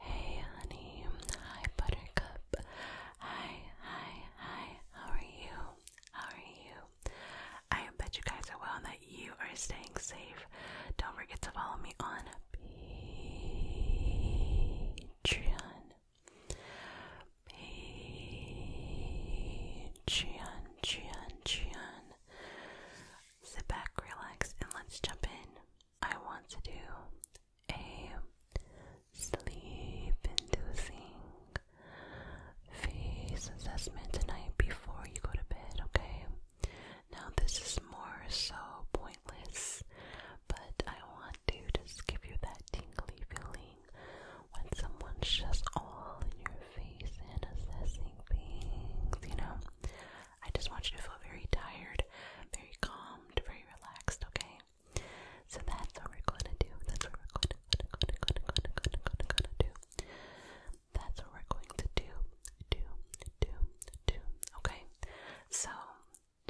Hey, honey. Hi, Buttercup. Hi, hi, hi. How are you? How are you? I bet you guys are well and that you are staying safe. Don't forget to follow me on Patreon. Patreon, Patreon, Patreon. Sit back, relax, and let's jump in. I want to do a sleep inducing face assessment tonight before you go to bed, okay? Now, this is more so pointless, but I want to just give you that tingly feeling when someone's just all in your face and assessing things, you know? I just want you to feel very tired, very calmed, very relaxed, okay? So that's what we're gonna do. That's what we're gonna, gonna, gonna, going gonna, do. That's what we're going to do, do, do, do, okay? So,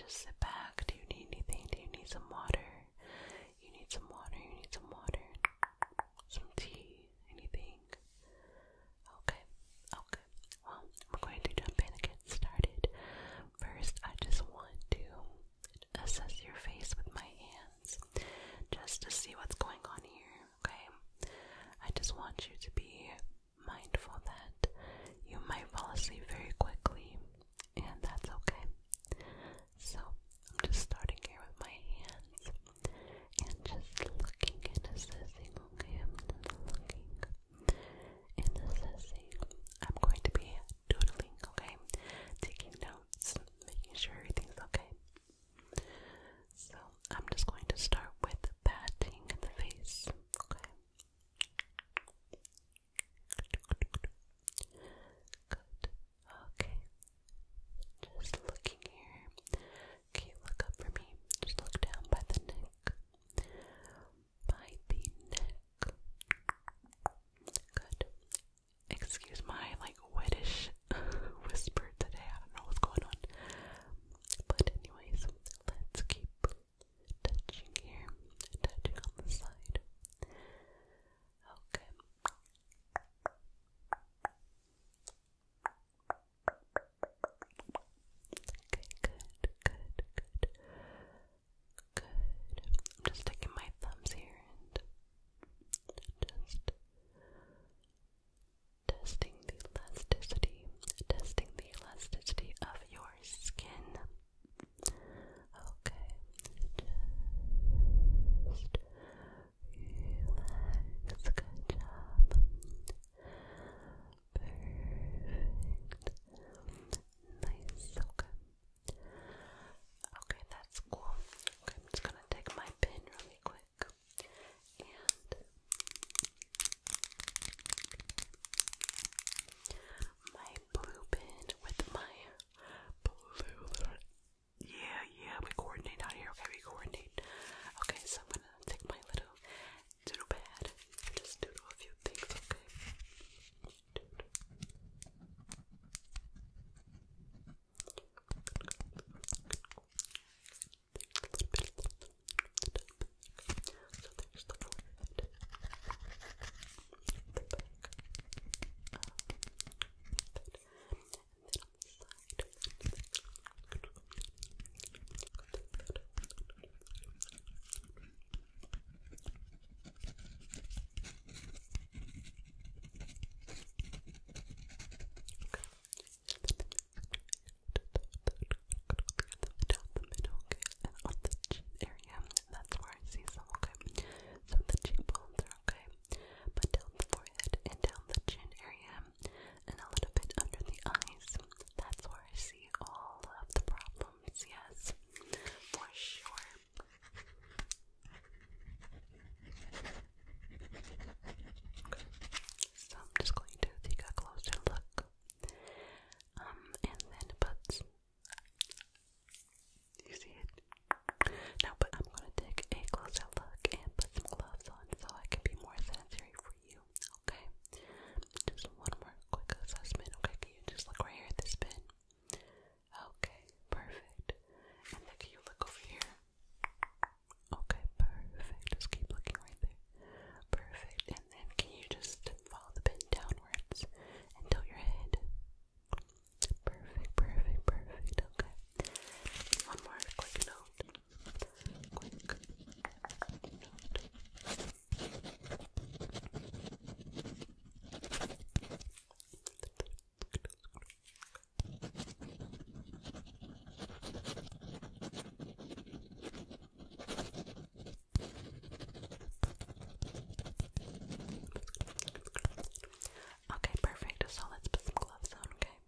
just sit back. Do you need anything? Do you need some water? You need some water, you need some water some tea, anything? Okay, okay. Well, I'm going to jump in and get started. First, I just want to assess your face with my hands just to see what's going on here, okay? I just want you to be mindful that you might fall asleep very quickly, and that's okay. So I'm just starting here with my hands and just looking and assessing, okay? I'm just looking and assessing. I'm going to be doodling, okay? Taking notes, making sure everything's okay. So I'm just going to start with patting the face, okay? Okay. Just looking here. Okay, look up for me. Just look down by the neck. By the neck. Good. Excuse my like wettish whisper today. I don't know what's going on. But anyways, let's keep touching here. Touching on the side. Okay good, good, good. Good. I'm just sticking my thumbs here and just testing the elasticity, testing the elasticity of your skin. Okay. Relax, good job. Perfect. Nice, okay. Okay, that's cool. Okay, I'm just gonna take my pin really quick. And my blue pin with my blue yeah, yeah, we coordinate out here. Okay, we coordinate. Okay, so I'm gonna take my little doodle pad and just doodle a few things, okay? one side. Down the middle, and on the chin area, that's where I see some, okay. So the cheekbones okay? But down the forehead and down the chin area and a little bit under the eyes. That's where I see all of the problems, yes, for sure. Okay. So I'm just going to take a closer look. Um, and then put you see it? Now, but I'm gonna take a closer look and put some gloves on so I can be more sanitary for you. Okay, just one more quick assessment. Okay, can you just look right here at this bin? Okay, perfect. And then can you look over here? Okay, perfect. Just keep looking right there. Perfect. And then can you just follow the pin downwards and your head? Perfect, perfect, perfect. Okay. One more quick note. Okay, perfect. So let's put some gloves on, okay?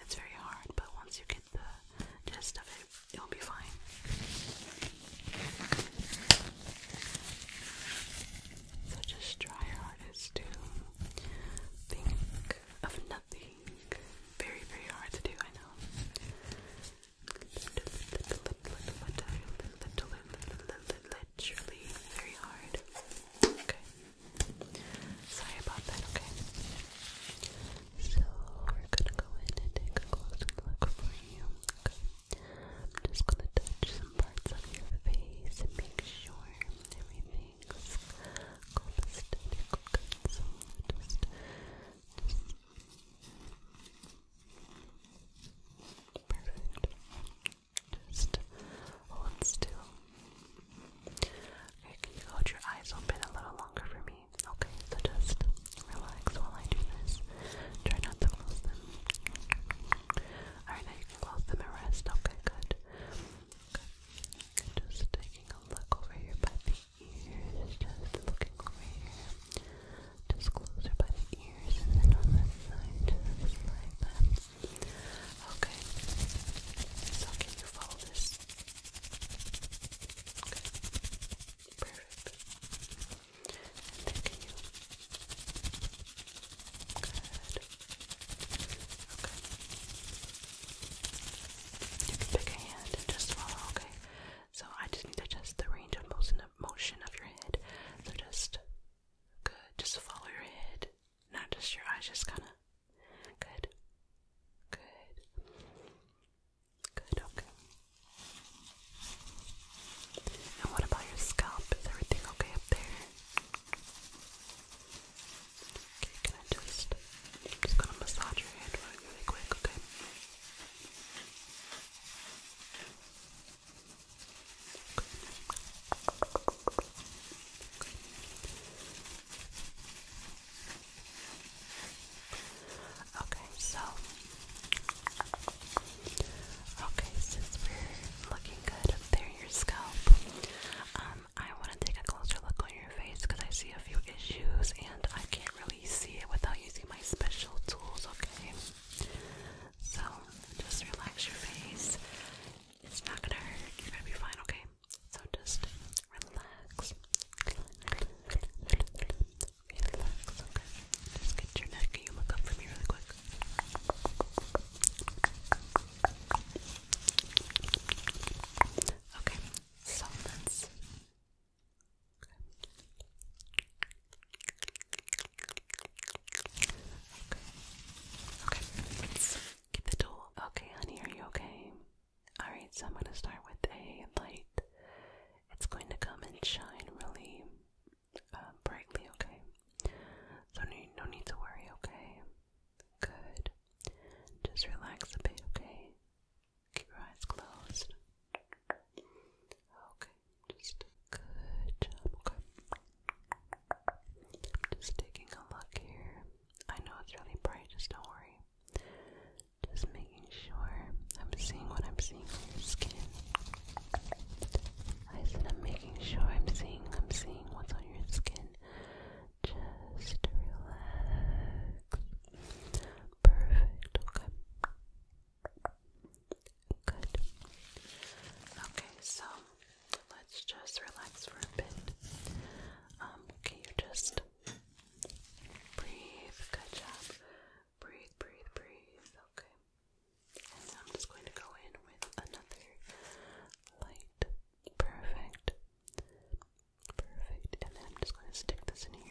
It's very hard, but once you get the gist of it, it'll be fine. So just try your hardest to think of nothing. Very, very hard to do, I know. Literally very hard. Okay. Sorry about that, okay? So, we're gonna go in and take a closer look for you, I'm just gonna touch some parts of your face and make sure everything's copacetic, okay? So, Perfect. Just hold still. Okay, can you hold your eyes open a little longer for me? Okay, so just relax while I do this. Try not to close them. Alright, now you can close them and rest. Okay, good. Just taking a look over here by the ears. Just looking over here. Just closer by the ears and then on this side. Just like that. Okay. you follow this Okay. Perfect. And can you? Good. Okay. You can pick a hand and just swallow, okay? So I just need to adjust the range of motion of your head. So just good, just follow your head. Not just your eyes, just kinda Good. Good. Good, okay. And what about your scalp? Is everything okay up there? Okay, can I just just gonna massage your head really quick, Okay. Okay, so okay, since we're looking good up there in your scalp, um, I want to take a closer look on your face because I see a few issues and I can't really see it without using my special tools. Okay, so just relax your face. It's not gonna hurt. You're gonna be fine. Okay. So just relax. Relax, okay? Just get your neck. you look up for me really quick? Okay, so Let's get the tool. Okay, honey, are you okay? Alright, so I'm going to start with a light. It's going to come and shine really uh, brightly, okay? So no, no need to worry, okay? Good. Just relax a bit, okay? Keep your eyes closed. Okay, just good job, okay? Just taking a look here. I know it's really bright, just don't worry. Just making sure I'm seeing what I'm seeing on your skin. I said I'm making sure I'm seeing I'm seeing what's on your skin. Just relax. Perfect. Okay. Good. Okay, so let's just relax for a bit. can um, you just Breathe. Good job. Breathe, breathe, breathe. Okay. And I'm just going to go in with another light. Perfect. Perfect. And then I'm just going to stick this in here.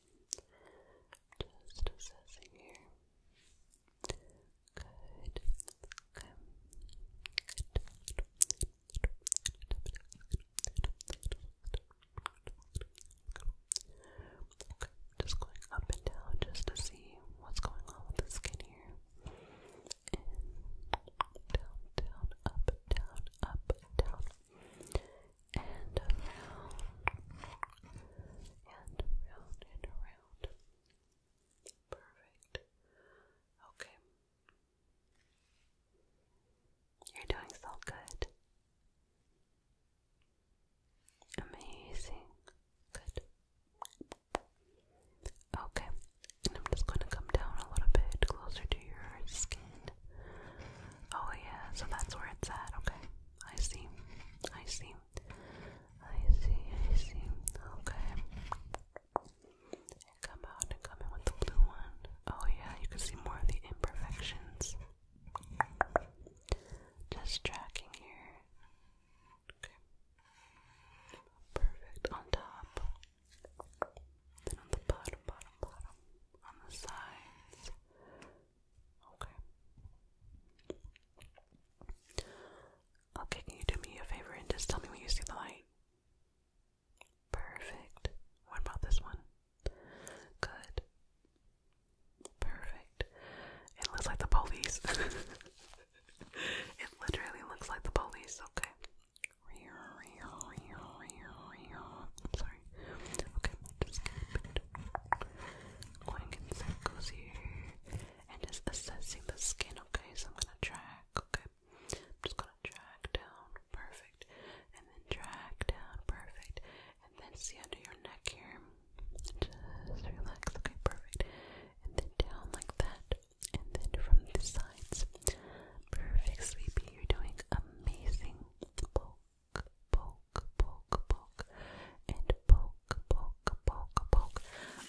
Just assessing here. Good. Okay. Good. Okay, just going up and down just to see what's going on with the skin here. In, down, down, up, down, up, down, and around and around and around. Perfect. Okay. You're doing so good. Amazing. Good. Okay. I'm just going to come down a little bit closer to your skin. Oh yeah, so that's where it's at. Okay, I see. I see. I see. I see. Okay. Come out and come in with the blue one. Oh yeah, you can see more of the imperfections. Just tracking here. Okay. Perfect on top. Then on the bottom, bottom, bottom. On the sides. Okay. Okay, can you do me a favor and just tell me when you see the light? Perfect. What about this one? Good. Perfect. It looks like the police. it literally looks like the police, okay. sorry, Okay, just keep Going in circles here and just assessing the skin, okay? So I'm gonna drag, okay? I'm just gonna drag down, perfect, and then drag down, perfect, and then see under your neck here. Just relax, okay, perfect, and then down like that, and then from the sides. Perfect, sleepy, you're doing amazing poke, poke, poke, and poke, poke, poke, poke.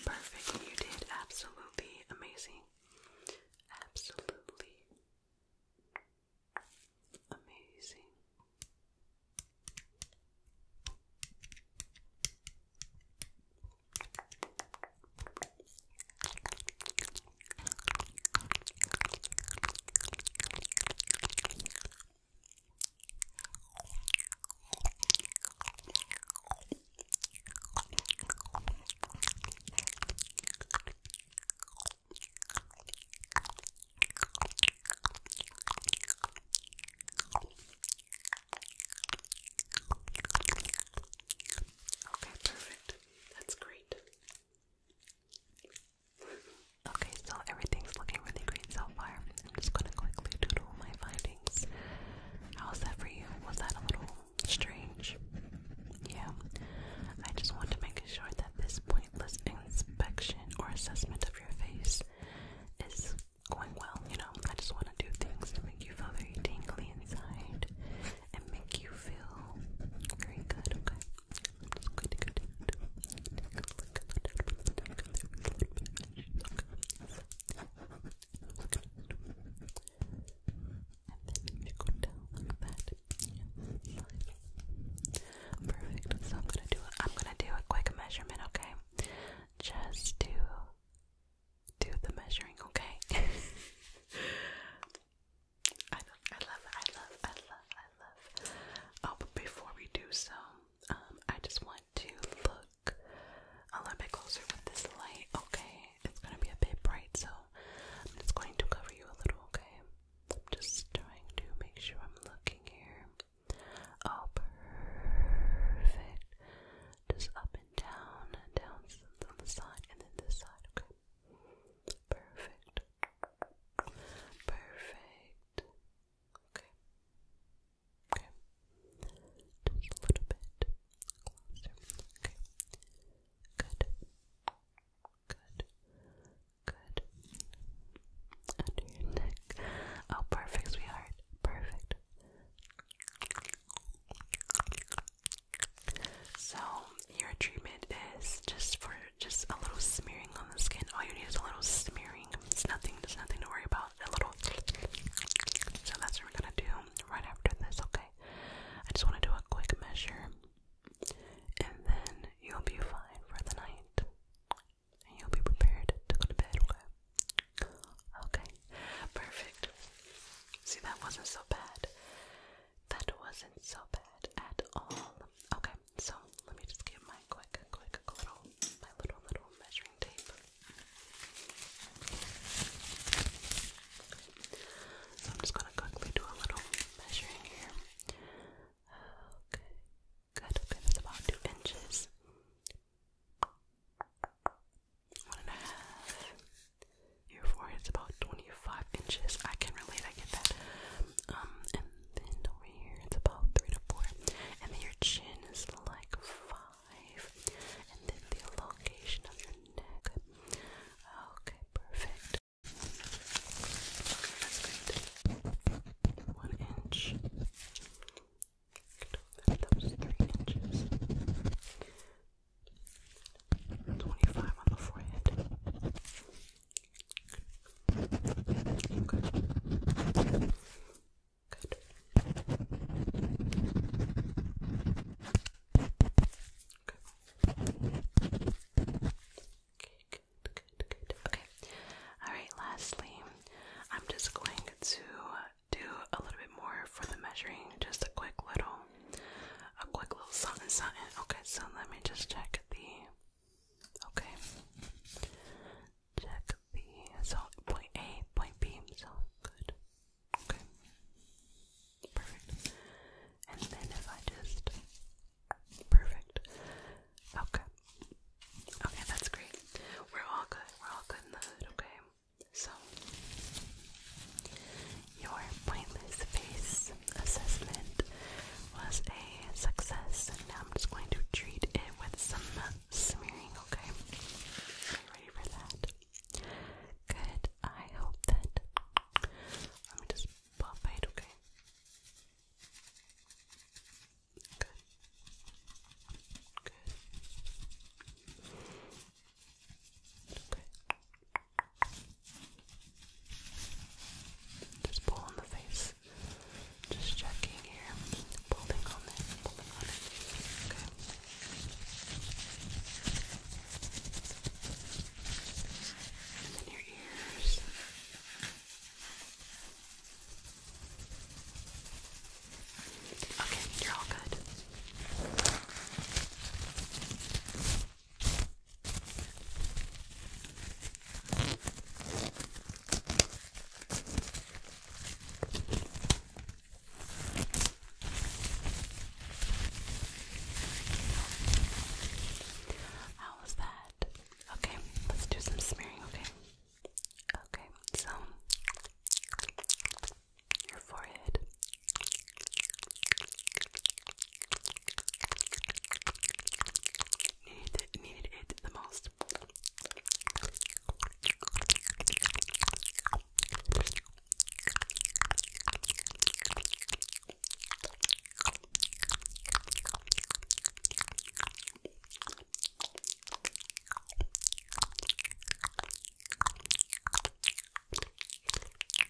Perfect. You did absolutely amazing. Absolutely amazing. Okay, perfect. That's great. Okay, so everything's looking really great so far. I'm just gonna quickly doodle my findings. How's that for you? Was that a little strange? Yeah. I just want to make sure that this pointless inspection or assessment of your face is going well, you know. I just want to do things to make you feel very tingly inside and make you feel very good, okay? perfect. So I'm gonna do. I'm gonna do a quick measurement, okay? Just to do the measuring, okay? I know, I love, I love, I love, I love. Oh, but before we do so, um, I just want to look a little bit closer with this light. Okay, it's gonna be a bit bright, so I'm just going to cover you a little. Okay, I'm just trying to make sure I'm looking here. Oh, perfect. Just up and down, and down on the side, and then this side. Okay, perfect. Perfect. Okay. Okay. Just a little bit closer. Okay. Good. Good. Good. Under your neck. Oh, perfect, sweetheart. Perfect. So your treatment is just for just a little smearing on the skin. All you need is a little smearing. It's nothing. There's nothing to worry about. A little. So that's what we're gonna do right after this. Okay. I just want to do a quick measure, and then you'll be fine for the night, you'll be prepared to go to bed. Okay. Okay. Perfect. See, that wasn't so bad. That wasn't so bad at all. Okay, so let me just get my quick, quick little, my little, little measuring tape. So I'm just gonna quickly do a little measuring here. Okay, good. Okay, that's about two inches. One and a half. Your forehead's about 25 inches. I can relate, I get that. Um, and then over here it's about three to four. And then your chin is like five. And then the elongation of your neck. Okay, perfect. One inch. That was three inches. 25 on the forehead. Okay. Good. Okay. Okay, good, good, good. Okay. Alright, lastly, I'm just going to do a little bit more for the measuring. Just a quick little a quick little something something. Okay, so let me just check the Okay. Check B. point A, point B. So good. Okay. Perfect. And then if I just perfect. Okay. Okay, that's great. We're all good. We're all good in the hood. Okay. So your pointless face assessment was a success, and now I'm just going to treat it with some smearing, okay? ready for that? Good. I hope that. Let me just buff it, okay? Good. Good. Okay. Just pulling the face. Just checking here. Pulling on it. Pulling on it. Okay. And then your ears. Okay, you're all good. How was that? Okay, let's do some smearing, okay? Okay, so your forehead. Needed it, needed it the most.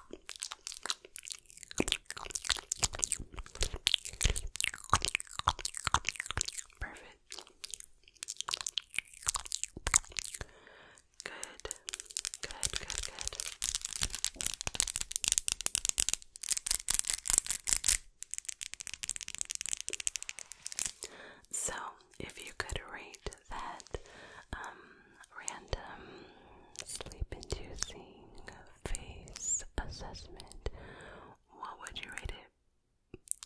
Perfect. Good. Good, good, good. So, if you could rate that um, random sleep-inducing face assessment, what would you rate it?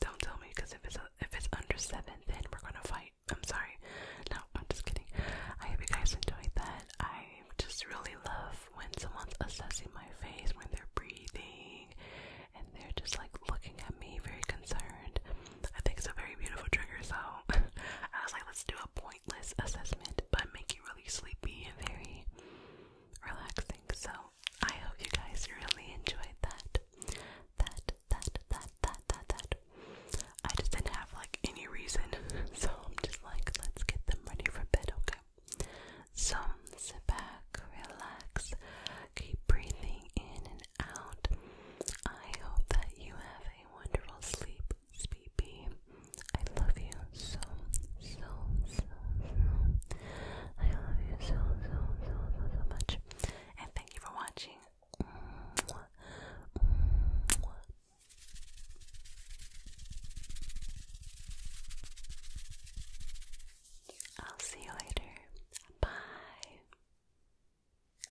Don't tell me, because if it's if it's under seven, then we're gonna fight. I'm sorry. No, I'm just kidding. I hope you guys enjoyed that. I just really love when someone's assessing my face when they're breathing and they're just like looking at me very concerned. I think it's a very beautiful trigger, so I was like, let's do a pointless assessment, by making you really sleepy and very relaxing. So I hope you guys really enjoyed that. That, that, that, that, that, that. I just didn't have like any reason, so I'm just like, let's get them ready for bed, okay? So sit back, relax, keep breathing in and out. I hope that you have wonderful sleep, Sleepy. I love you so, so, so, so. much. And thank you for watching. I'll see you later. Bye.